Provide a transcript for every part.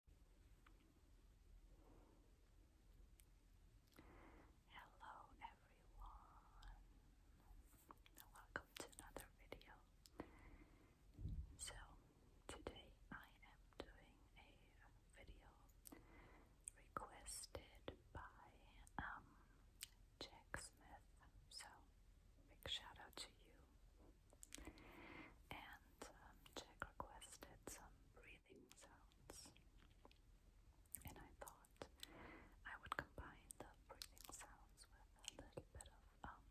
Hello everyone, welcome to another video. So, today I am doing a video requested by um, Jack Smith. So, big shout out to you. And um, Jack requested some breathing sounds. And I thought I would combine the breathing sounds with a little bit of um,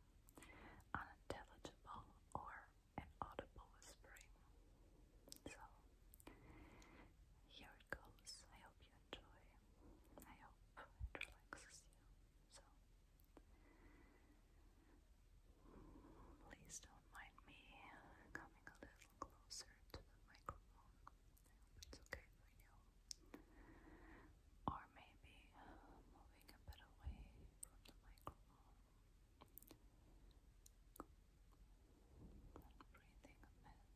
unintelligible or inaudible whispering. So here it goes. I hope you enjoy. I hope it relaxes you. So Please don't mind me coming a little closer to the microphone. I hope it's okay for you. Or maybe moving a bit away from the microphone. breathing a bit.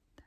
them.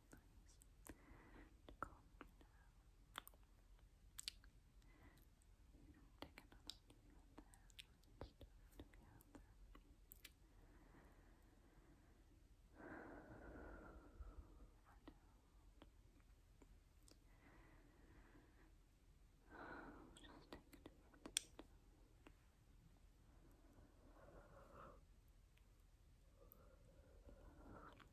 nice to calm you down. Take another deep breath and stuff together. And out. Just take a deep breath. Out.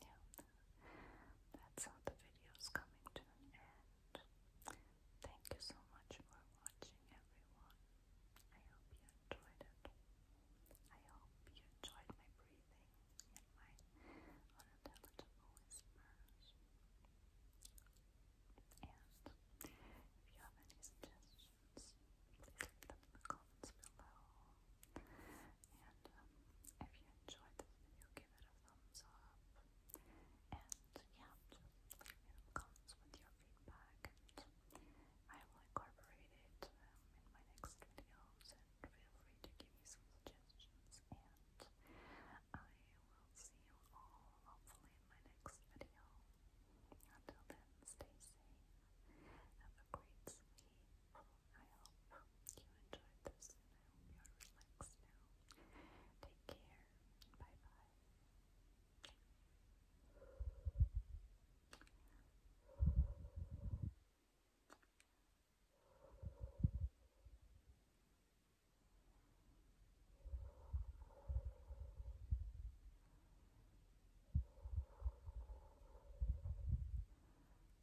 yeah, that's how the video's coming to an end. Thank you so much for watching, everyone. I hope you enjoyed it. I hope you enjoyed my breathing and my unintelligible whispers. And if you have any suggestions, please leave them in the comments below. And um, if you enjoyed this video, give it a thumbs up. And yeah, leave me comments with your feedback. I will incorporate it um, in my next videos. And feel free to give me some suggestions. And I will see you all hopefully in my next video. Until then, stay safe. Have a great sleep. I hope you enjoyed this I hope you're relaxed now. Take care. Bye bye.